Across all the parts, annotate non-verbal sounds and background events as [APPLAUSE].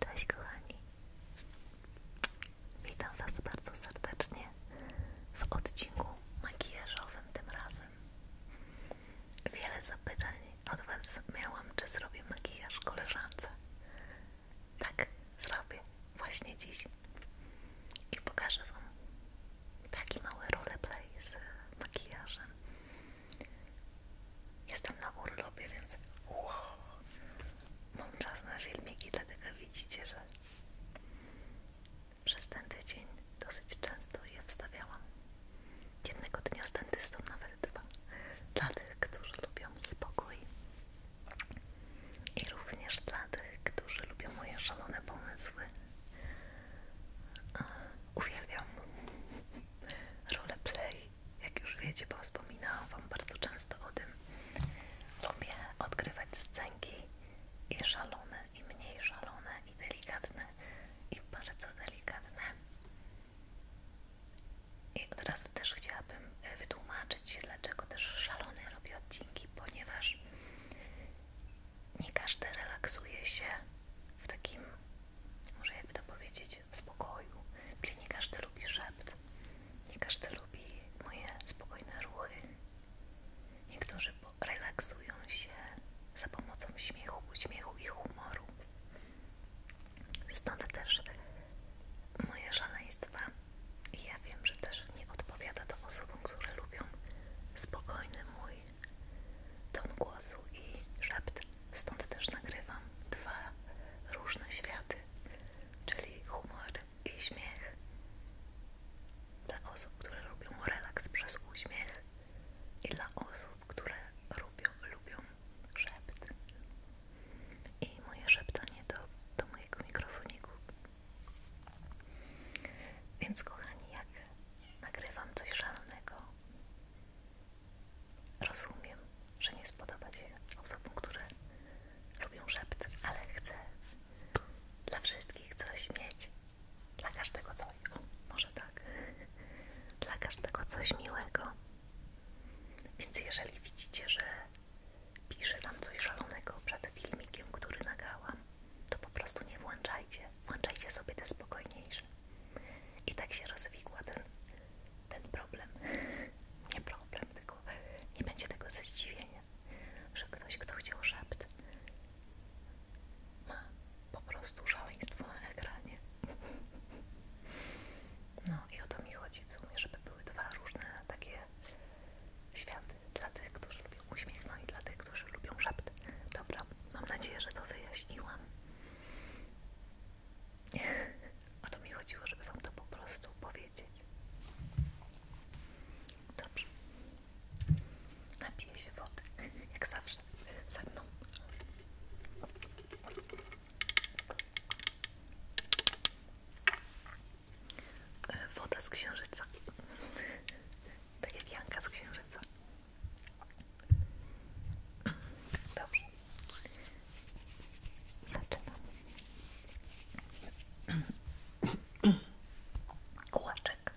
Cześć kochani, witam Was bardzo serdecznie w odcinku makijażowym tym razem. Wiele zapytań od Was miałam, czy zrobię makijaż koleżance. Tak, zrobię właśnie dziś i pokażę Wam taki mały roleplay z makijażem. Jestem na urlopie, więc mam czas na filmiki, dlatego widzicie, że przez ten tydzień dosyć często je wstawiałam. Jednego dnia z dentystą nawet dwa. Dla tych, którzy lubią spokój i również dla tych, którzy lubią moje szalone pomysły. Uwielbiam roleplay jak już wiecie, bo wspominałam Wam bardzo często o tym, lubię odgrywać scenki i szalone, i mniej szalone, i delikatne, i bardzo delikatne. I od razu też chciałabym e, wytłumaczyć, dlaczego też szalone robię odcinki, ponieważ nie każdy relaksuje się w takim może jakby to powiedzieć, w spokoju. Czyli nie każdy lubi szept, nie każdy lubi moje spokojne ruchy. Niektórzy relaksują się za pomocą śmiechu, uśmiechu i humoru. Stąd też moje szaleństwa. I ja wiem, że też nie odpowiada to osobom, które lubią spokojny mój ton głosu i szept. Stąd też nagrywam dwa różne światy, czyli humor i śmiech. Dla osób, które lubią relaks przez uśmiech i dla osób, które lubią, lubią szept. I moje szeptanie do, do mojego mikrofoniku. Więc kochani, jak nagrywam coś szalonego, Rozumiem, że nie spodoba się osobom, które lubią szept, ale chcę dla wszystkich coś mieć. Dla każdego coś. może tak. Dla każdego coś miłego. Więc jeżeli widzicie, że piszę tam coś szalonego przed filmikiem, który nagrałam, to po prostu nie włączajcie. Włączajcie sobie te spokojniejsze. I tak się rozwikła ten, ten problem. [LAUGHS] Nie problem, tylko nie będzie tego zdziwienia, że ktoś, kto chciał szept, ma po prostu szaleństwo na ekranie. [LAUGHS] No i o to mi chodzi w sumie, żeby były dwa różne takie światy dla tych, którzy lubią uśmiech, no i dla tych, którzy lubią szept. Dobra, mam nadzieję, że to wyjaśniłam. [LAUGHS] O to mi chodziło, żeby Wam to po prostu powiedzieć. Dobrze. Napiję się wody, [LAUGHS] jak zawsze, ze mną. E, woda z księżyca. [LAUGHS] Tak jak Janka z księżyca. Dobrze. Zaczynam. Kółeczek.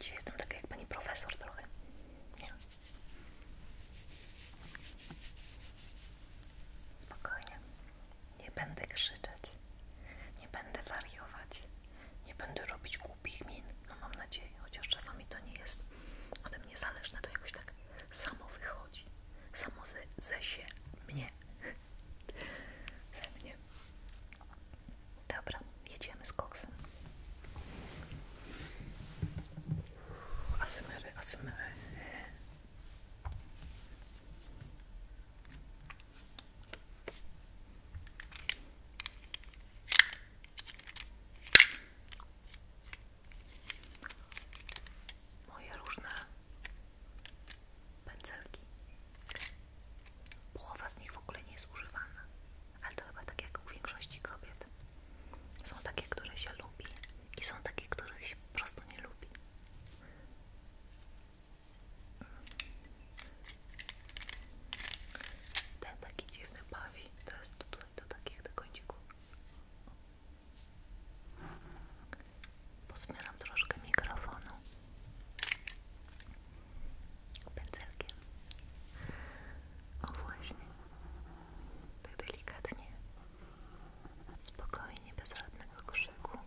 Dzisiaj jestem taka jak pani profesor trochę. Nie. Spokojnie. Nie będę krzyczeć. Nie będę wariować. Nie będę robić głupich min. No mam nadzieję, chociaż czasami to nie jest ode mnie zależne, to jakoś tak samo wychodzi. Samo ze, się mnie. [LAUGHS] ze mnie. Dobra, jedziemy z koksem. Asymery, asymery moje różne pędzelki. Połowa z nich w ogóle nie jest używana, ale to chyba tak jak u większości kobiet. Są takie, które się lubi i są takie, których się po prostu nie lubi. Ten taki dziwny bawi, to jest tutaj do takich do końcików. Posmieram troszkę mikrofonu pędzelkiem. O właśnie, tak delikatnie, spokojnie, bezradnego żadnego krzyku,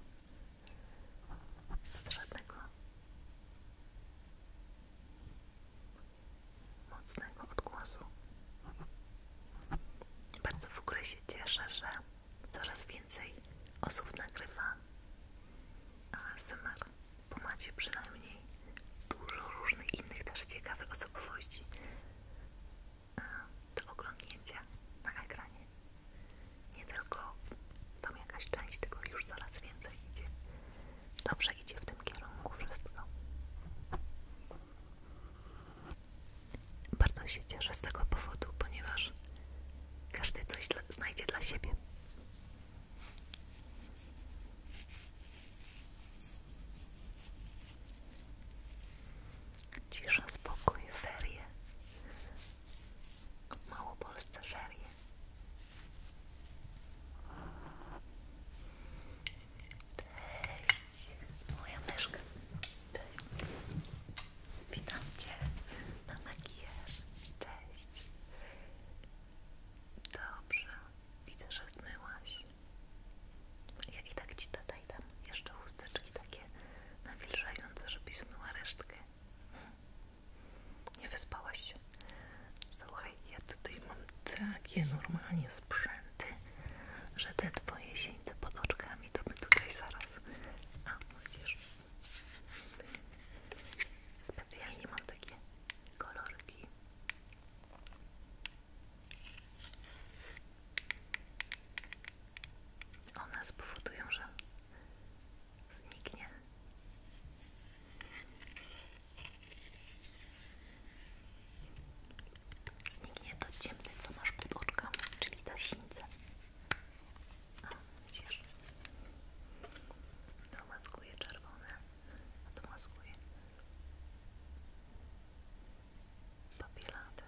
mocnego odgłosu. Bardzo w ogóle się cieszę, że coraz więcej osób nagrywa ASMR, bo macie przynajmniej dużo różnych innych też ciekawych osobowości e, do oglądnięcia na ekranie. Nie tylko tam jakaś część, tylko już coraz więcej idzie Dobrze idzie w tym kierunku wszystko. Bardzo się cieszę z tego powodu, ponieważ każdy coś znajdzie dla siebie. Cisza, spokój, ferie. mało Małopolsce ferie. Cześć, moja myszka. Cześć. Witam Cię na Cześć. Dobrze. Widzę, że zmyłaś. Ja i tak Ci tutaj dam jeszcze chusteczki takie nawilżające, żebyś zmyła resztkę. Nie wyspałaś się? Słuchaj, ja tutaj mam takie normalnie sprzęty, że te twoje sieńce pod oczkami to my tutaj zaraz. A, widzisz? Specjalnie mam takie kolorki. One spowodują, że zniknie Zniknie to ciemne, co masz pod oczkami, czyli ta sińca. A, widzisz? To maskuje czerwone, a to maskuje papielatę.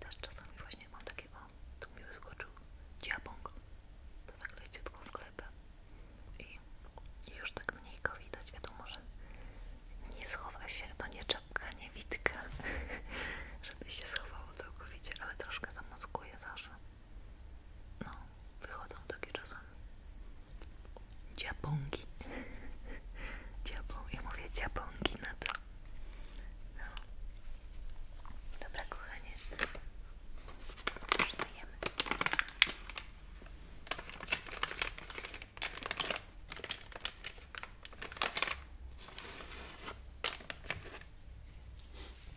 Teraz czasami właśnie mam takie o, tu mi wyskoczył dziabąk, to tak leciutko w klepę i już tak mniej go widać, wiadomo, że nie schowa się, to nie czapka, nie witka, [LAUGHS] żeby się schowało całkowicie, ale troszkę zamaskuje zawsze. No, wychodzą takie czasami dziabąki. [LAUGHS] Dziabą, ja mówię dziabąki na to. No. Dobra, kochanie. Już zmieniamy.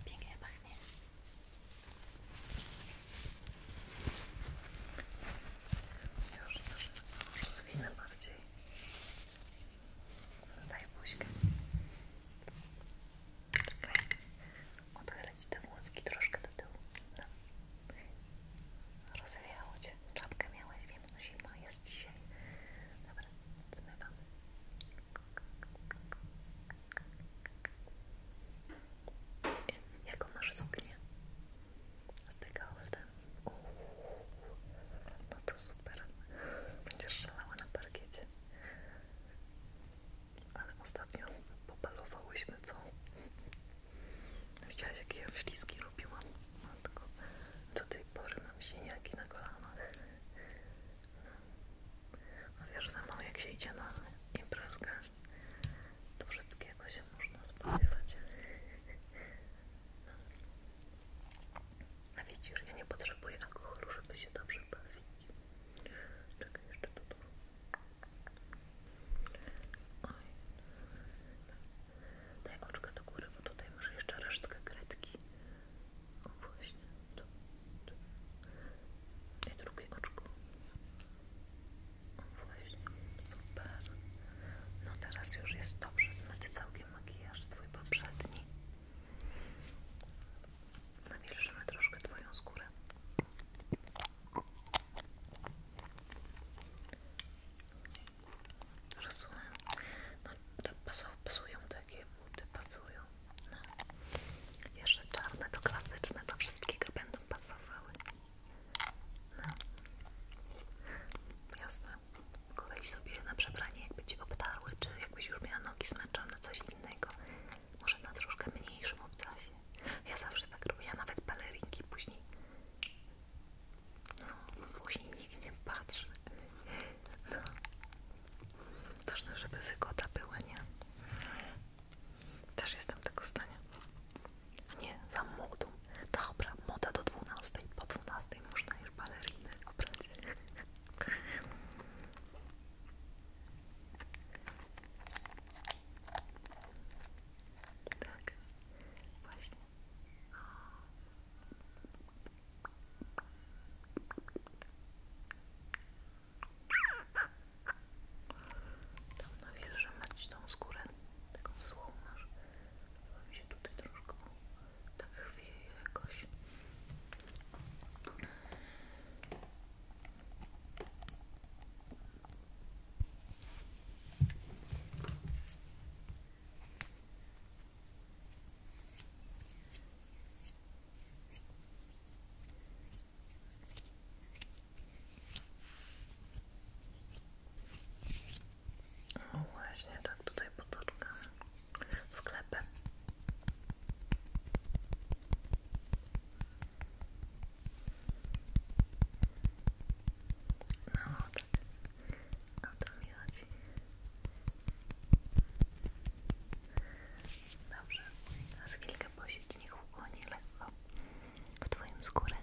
Pięknie pachnie. Już, już, już zwinę bardziej. Daj buźkę. Czekaj. Odchylę Ci te włoski troszkę do tyłu. No. Rozwiało Cię. Czapkę miałeś, wiem, no zimno jest dzisiaj. Dobra, zmywam. Jaką masz suknię? Z tego olda. No to super. Będziesz szalała na parkiecie. Ale ostatnio popalowałyśmy, co? Widziałaś, jakie ja wślizgi robiłam? Matko, do tej pory mam siniaki na kolana A no wiesz, za mną jak się idzie na imprezkę, to wszystkiego się można spodziewać. A widzisz, ja nie potrzebuję alkoholu, żeby się dobrze bawić. Czekaj, jeszcze tu to. Oj. Daj oczka do góry, bo tutaj masz jeszcze resztkę kredki. O właśnie, tu, I drugie oczko. O właśnie, super. No teraz już jest dobrze, zmyty całkiem makijaż, twój poprzedni. Nawilżymy troszkę Twoją skórę. Rozumiem. No to pasują, takie buty, pasują. No. Jeszcze czarne to klasyczne, to wszystkie wszystkiego będą pasowały. No. Jasne. Tylko sobie na przebranie, jakby Cię obtarły, czy jakbyś już miała nogi zmęczone, coś innego. Może na troszkę mniejszym obcasie. Ja zawsze tak robię, ja nawet balerinki później. No, później nikt nie patrzy. No. Ważne, żeby wygoda była, nie? Też jestem tego zdania. Nie, za młodą. Dobra, moda do 12. Po 12 można już baleriny obrać. Tak, właśnie. Tam na wieży mać tą skórę, taką suchą masz. Chyba mi się tutaj troszkę tak chwieje jakoś no tak tutaj potoczkami sklepy. No tak, to mi chodzi. Dobrze, teraz chwilkę posiedź, niech ukłoni lekko w Twoim skórę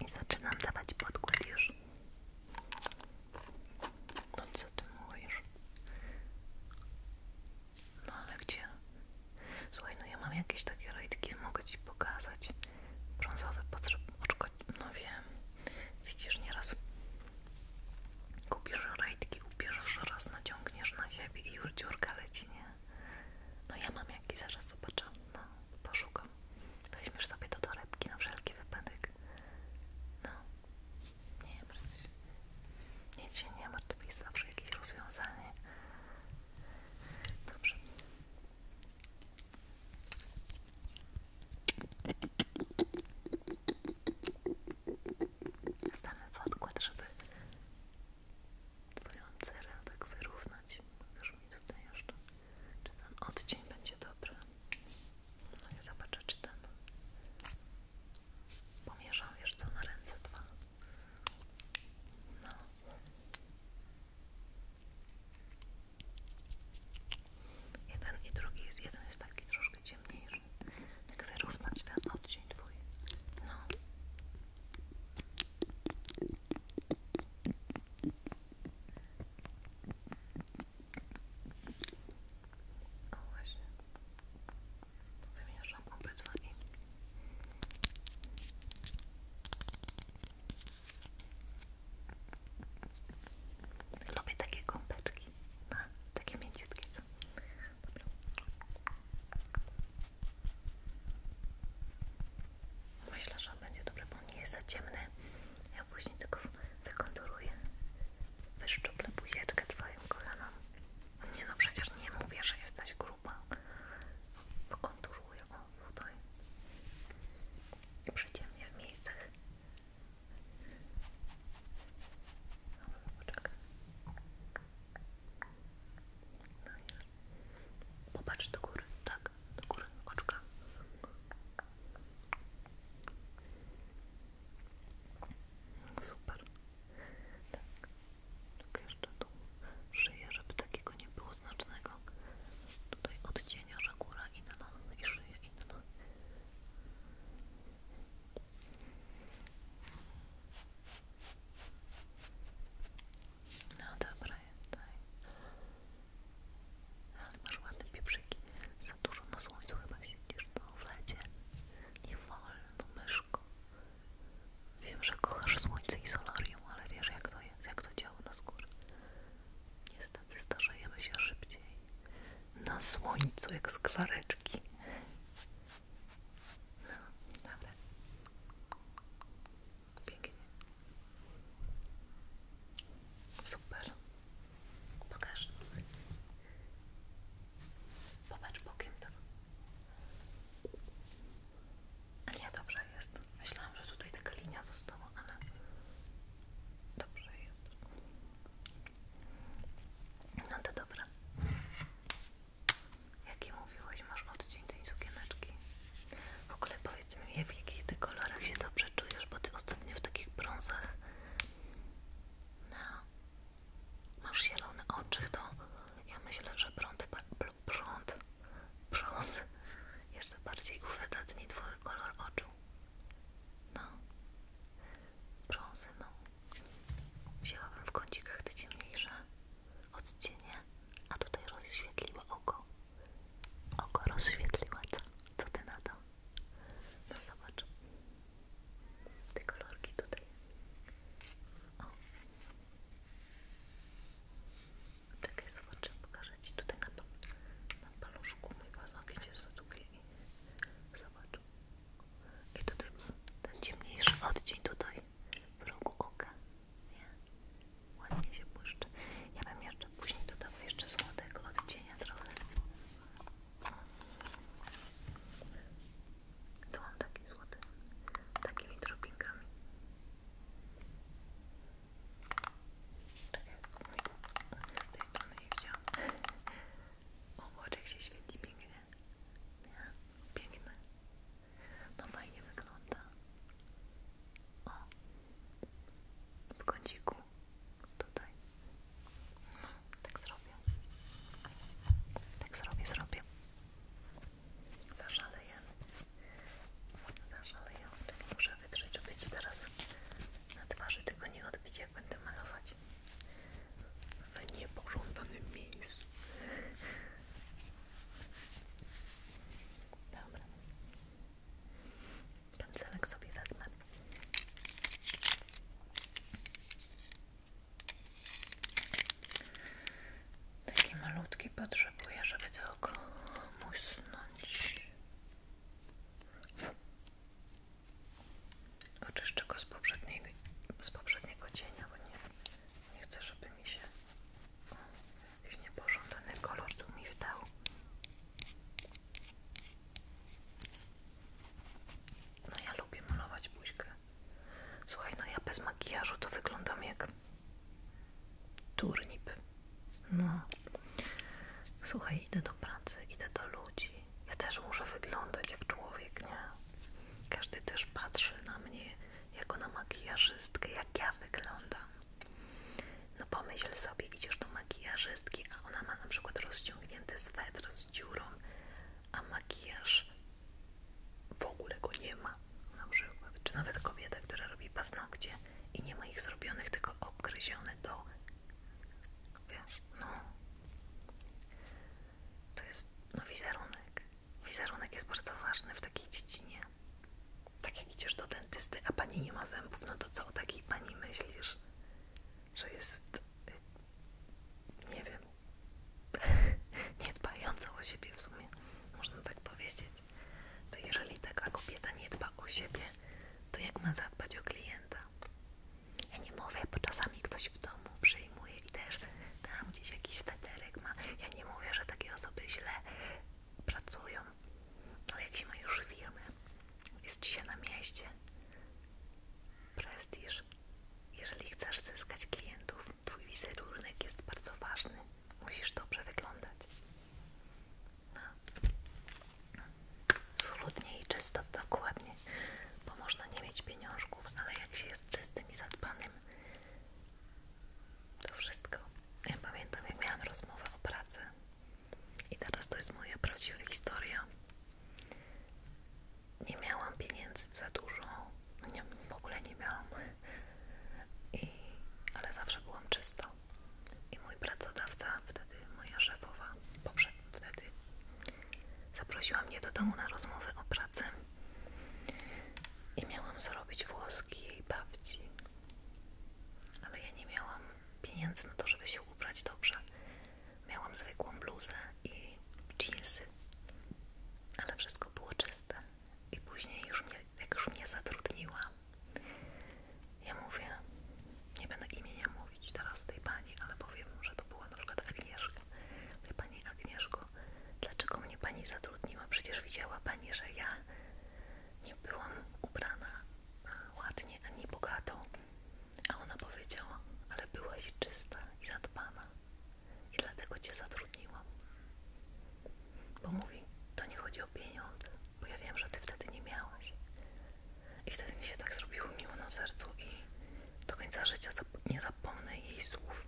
i zaczynam dawać podkład już. No co ty mówisz? No ale gdzie? Słuchaj, no ja mam jakieś takie rajdki, mogę ci pokazać. Brązowe potrzeb... Oczko... No wiem. Widzisz, nieraz kupisz rajdki, ubierzesz raz, naciągniesz na siebie i już dziurka leci, nie? No ja mam jakieś zaraz zobaczę. No, poszukam. Weźmiesz sobie to do torebki na wszelki wypadek. No. Nie martw się. Nic się nie martw, jest zawsze jakieś rozwiązanie. Dobrze. Stanę w odkład, żeby twoją cerę tak wyrównać. Pokaż mi tutaj jeszcze, czy ten odcień będzie dobry. No i zobaczę, czy ten. Pomierzam, wiesz co, na ręce dwa. No. Jeden i drugi jest, jeden jest taki troszkę ciemniejszy. Jak wyrównać ten odcinek twój. No. O właśnie. Wymieszam obydwa i... Lubię takie gąbeczki. takie mięciutkie są. Myślę, że będzie dobry, bo nie jest za ciemny. Ja później tylko wykonturuję, wyszczuplę buzieczkę Twoim kolanom. Nie no, przecież nie mówię, że jesteś gruba. Wykonturuję, o tutaj. Przyciemnie w miejscach. Dobra, poczekaj. No już. Popatrz do góry, tak, do góry oczka. Super. Tak. jeszcze tu szyję, żeby takiego nie było znacznego. Tutaj odcienia, że góra inna i szyja inna. No dobra, tutaj ale masz ładne pieprzyki. Za dużo na słońcu chyba siedzisz, to no, w lecie. Nie wolno, myszko. Wiem, że kochasz słońce i solarium, ale wiesz jak to jak to działa na skórze. Niestety starzejemy się szybciej. Na słońcu, jak sklareczki. No, dobra. Pięknie. Super. Pokaż. Popatrz bokiem to. A nie, dobrze jest. Myślałam, że tutaj taka linia została, ale dobrze jest. No to dobra. Jaki mówiłeś, masz odcień tej sukieneczki? W ogóle powiedz mi, w jakich ty kolorach się dobrze czujesz, bo ty ostatnio w takich brązach no. Masz zielone oczy, to ja myślę, że prąd, prąd, brąz [LAUGHS] jeszcze bardziej uwydatni twój kolor oczu. No. Brązy, no. Wzięłabym w kącikach te ciemniejsze odcienie, a tutaj rozświetliło oko. Oko rozświetliła, co? Co ty na to? No zobacz. Te kolorki tutaj. O. Czekaj, zobaczę, pokażę Ci tutaj na, pal na paluszku mój paznokcie jest odtugliwy. Zobacz. I tutaj ten ciemniejszy odcień tutaj w rogu oka. Nie? Ładnie się błyszczy. Ja bym jeszcze później dodała jeszcze złotego odcienia trochę. Tu mam taki złoty, takimi drobinkami. Czekaj, z tej strony nie wziąłem. [LAUGHS] Obłoczek się świetnie pięknie. Nie? Piękny. No fajnie wygląda. O, w kąciku tutaj. No, tak zrobię. Tak zrobię, zrobię. Zaszaleję. Zaszaleję. Tak muszę wytrzeć, żeby ci teraz na twarzy tego nie odbić, jak będę malować. W niepożądanym miejscu. Dobra. Ten sobie wezmę. Taki malutki potrzebuję, żeby tylko musnąć. Oczyszczę go z poprzedniego, z poprzedniego cienia, bo nie, nie chcę, żeby mi się jakiś niepożądany kolor tu mi wdał. No ja lubię malować buźkę. Słuchaj, no ja bez makijażu to wyglądam jak turnip. No. Słuchaj, idę do pracy, idę do ludzi. Ja też muszę wyglądać jak człowiek, nie? Każdy też patrzy na mnie jako na makijażystkę, jak ja wyglądam. No pomyśl sobie, idziesz do makijażystki, a ona ma na przykład rozciągnięty swetr z dziurą, a makijaż w ogóle go nie ma na przykład. Czy nawet kobieta, która robi paznokcie i nie ma ich zrobionych, tylko obgryzione do... Wiesz, no... To jest, no wizerunek. Wizerunek jest bardzo ważny w takiej dziedzinie. Tak jak idziesz do dentysty, a pani nie ma zębów, no to co o takiej pani myślisz? że jest, nie wiem, [LAUGHS] niedbająca o siebie w sumie, można tak powiedzieć. To jeżeli taka kobieta nie dba o siebie, to jak ma zadbać o klienta? Ja nie mówię, bo czasami ktoś w domu przyjmuje i też tam gdzieś jakiś sweterek ma. Ja nie mówię, że takie osoby źle pracują ale jak się ma już firmy, jest ci się na mieście, prestiż. Jeżeli chcesz zyskać klientów, twój wizerunek jest bardzo ważny. Musisz dobrze wyglądać. No. Solidnie i czysto, dokładnie. Bo można nie mieć pieniążków, ale jak się jest czystym i zadbanym, to wszystko. Ja pamiętam, jak miałam rozmowę o pracy i teraz to jest moja prawdziwa historia. Nie miałam pieniędzy za dużo, no nie, w ogóle nie miałam, ale zawsze byłam czysta. I mój pracodawca, wtedy moja szefowa, poprzednio wtedy, zaprosiła mnie do domu na rozmowę o pracy. I miałam zrobić włoski i babci, ale ja nie miałam pieniędzy na to, żeby się ubrać dobrze. Miałam zwykłą bluzę i jeansy, ale wszystko było czyste. I później, już mnie, jak już mnie zatrudniła, ja mówię, nie będę imienia mówić teraz tej pani, ale powiem, że to była na przykład Agnieszka. Mówię, pani Agnieszko, dlaczego mnie pani zatrudniła? Przecież widziała pani, że ja nie byłam ubrana ładnie, a nie bogato. A ona powiedziała, ale byłaś czysta i zadbana i dlatego Cię zatrudniłam. Bo mówi, to nie chodzi o pieniądze, bo ja wiem, że Ty wtedy nie miałaś. I wtedy mi się tak zrobiło miło na sercu i do końca życia nie zapomnę jej słów.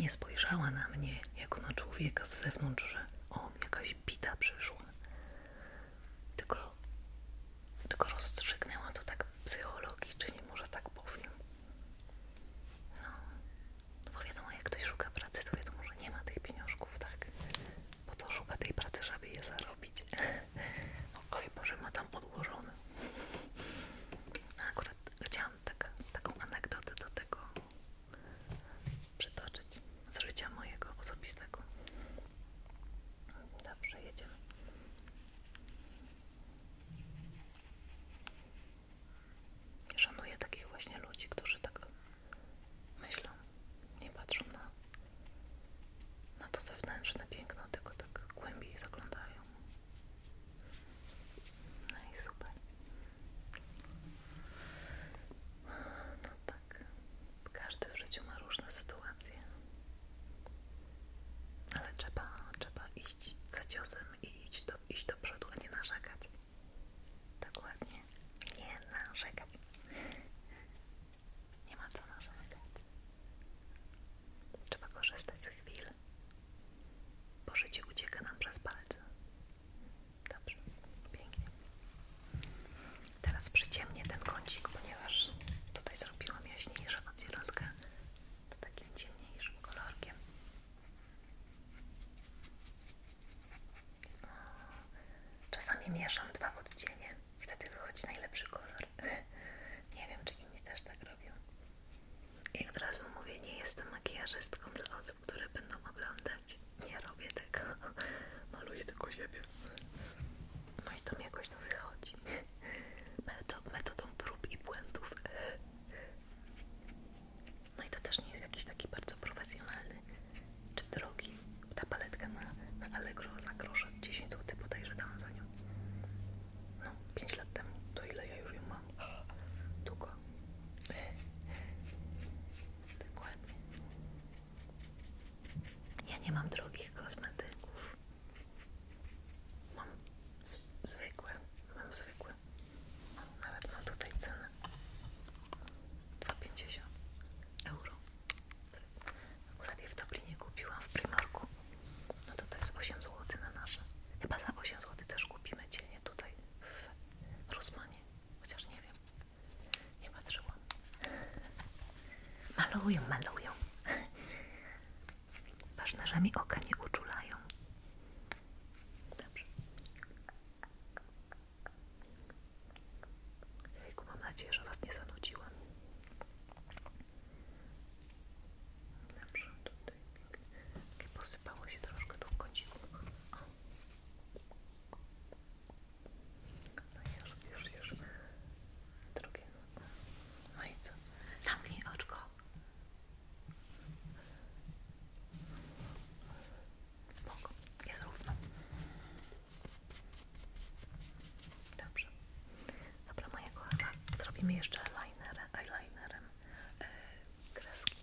Nie spojrzała na mnie jako na człowieka z zewnątrz, że o, jakaś jakbyś bita przyszła. Tylko, tylko rozstrzygnęła to tak psychologicznie, może tak powiem. No, no, bo wiadomo, jak ktoś szuka pracy, to wiadomo, że nie ma tych pieniążków, tak? bo to szuka tej pracy, żeby je zarobić. No chyba, że ma tam odłożone. A [LAUGHS] akurat chciałam tak, taką anegdotę do tego przytoczyć z życia mojego osobistego. Dobrze, jedziemy. Szanuję takich właśnie ludzi, którzy tak myślą, nie patrzą na, na to zewnętrzne piękno, tylko tak głębiej zaglądają. No no tak, każdy w życiu ma różne sytuacje, ale trzeba, trzeba iść za ciosem i iść do, iść do przodu, a nie narzekać. Dokładnie, nie narzekać. Nie ma co narzekać. Trzeba korzystać z chwil, bo życie ucieka nam przez palce. Dobrze, pięknie. Teraz przyciemnię ten kącik, ponieważ tutaj zrobiłam jaśniejszą od środka, takim ciemniejszym kolorkiem. czasami mieszam dwa odcienie, wtedy wychodzi najlepszy kolor. [LAUGHS] Nie wiem, czy inni też tak robią. Jak od razu mówię, nie jestem makijażystką dla osób, które będą oglądać. Nie robię tego. No [LAUGHS] ludzie tylko siebie. No i tam jakoś to wychodzi. [LAUGHS] Metodą prób i błędów. [LAUGHS] No i to też nie jest jakiś taki bardzo profesjonalny czy drogi. Ta paletka na, Allegro za grosze 10 zł bodajże dałam za nią. No, 5 lat temu. To ile ja już ją mam? [GASPS] Długo. Dokładnie. Ja nie mam drogich kosmetyków. Mam zwykłe, mam zwykłe. Nawet mam tutaj cenę 2,50 euro. Akurat je w Dublinie kupiłam w Primarku. No to to jest 8 zł na nasze. Chyba za 8 zł też kupimy dzielnie tutaj w Rosmanie. Chociaż nie wiem, nie patrzyłam. Malują, malują. Ważne, że mi oka nie uczulają. Dobrze. Jejku, mam nadzieję, że Was nie zanudziłam. Dobrze, tutaj pięknie. Takie posypało się troszkę tu w kąciku. No już, już, już. Drugie. No i co? Zamknij oczko. Spoko, jest równo. Dobrze. Dobra, moja kochana, zrobimy jeszcze eyeliner, eyelinerem yy, kreski.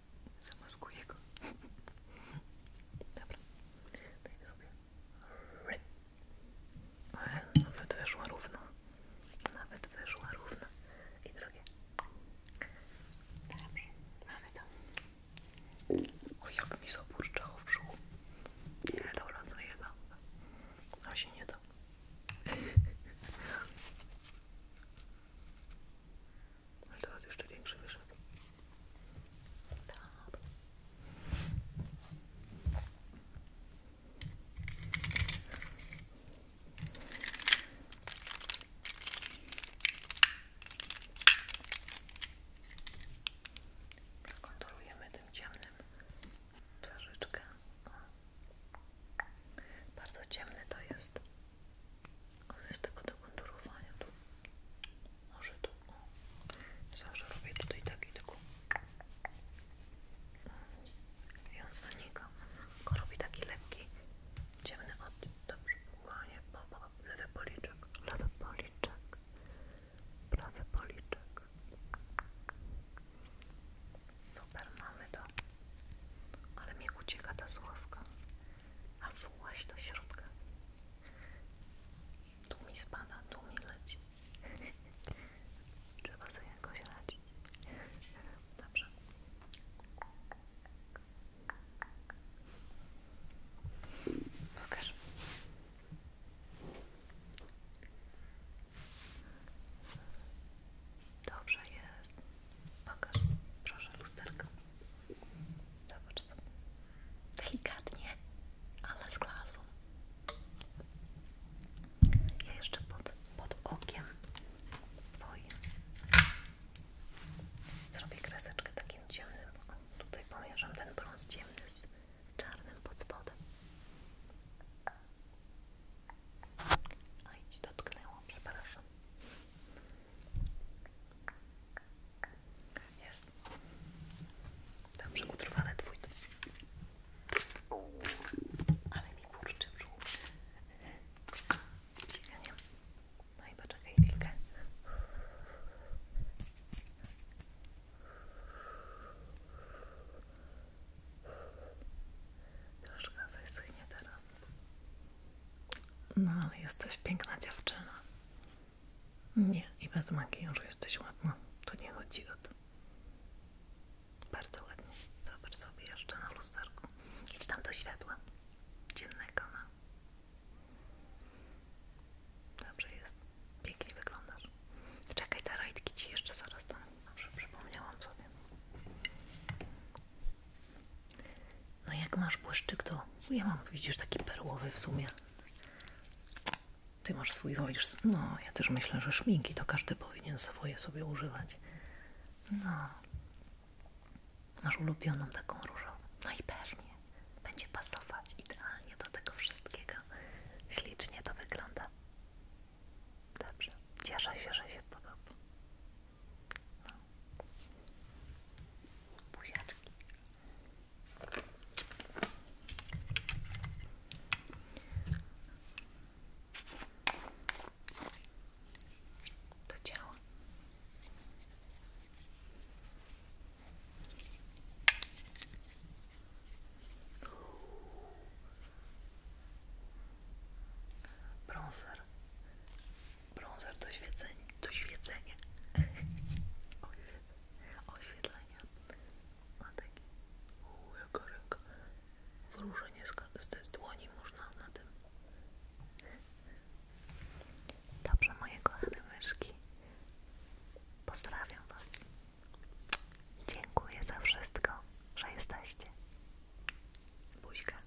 Zamaskuję go. [LAUGHS] Dobra, tak zrobię. Nawet wyszła równo. Nawet wyszła równo. I drugie. Dobrze, mamy to. O, jak mi zaburczało w brzuchu. Nie, dobra, zleję to. A się nie da. [LAUGHS] Ale jeszcze większy wyszedł. Tak. tym ciemnym twarzyczkę. O. Bardzo ciemny to jest on jest tego do konturowania tu. Może tu. O. No. Zawsze robię tutaj taki tylko. I on zanika. Tylko robi taki lekki, ciemny odcień. Dobrze, kochanie. Lewy policzek. Lewy policzek. Prawy policzek. Super, mamy to. Ale mi ucieka ta słuchawka a właś do środka. Tu mi spada, tu mi leci. [LAUGHS] Trzeba sobie jakoś radzić. Dobrze. Pokaż. Dobrze jest. Pokaż, proszę, lusterko. Zobacz sobie. Delikatnie, ale z klasą. Ja jeszcze pod, pod okiem twoim zrobię kreseczkę takim ciemnym. tutaj pomierzam ten brąz ciemny z czarnym pod spodem. A idź, dotknęło, przepraszam. Jest. Dobrze, utrwale twój. Ale mi kurczy brzuch. Ciekanie. No i poczekaj chwilkę. Troszkę wyschnie teraz. No ale jesteś piękna dziewczyna. Nie, i bez makijażu jesteś ładna. To nie chodzi o to. Bardzo ładnie. Zobacz sobie jeszcze na lusterku. Idź tam do światła. Dziennego na. No. Dobrze jest. Pięknie wyglądasz. Czekaj, te rajtki ci jeszcze zaraz tam. Dobrze, przypomniałam sobie. No jak masz błyszczyk, to ja mam, widzisz, taki perłowy w sumie. Ty masz swój, wolisz. No, ja też myślę, że szminki to każdy powinien swoje sobie używać. No. Masz ulubioną taką różową. No i pewnie. Będzie pasować idealnie do tego wszystkiego. Ślicznie to wygląda. Dobrze. Cieszę się, że się podoba. No. Buziaczki. To działa. Bronzer Brązer do świecenia. [LAUGHS] Do świecenia. Oświetlenia. Ma taki jaka ręka. Wróżenie z tej dłoni można na tym. Dobrze, moje kochane myszki. Pozdrawiam Was. Dziękuję za wszystko, że jesteście. Buźka.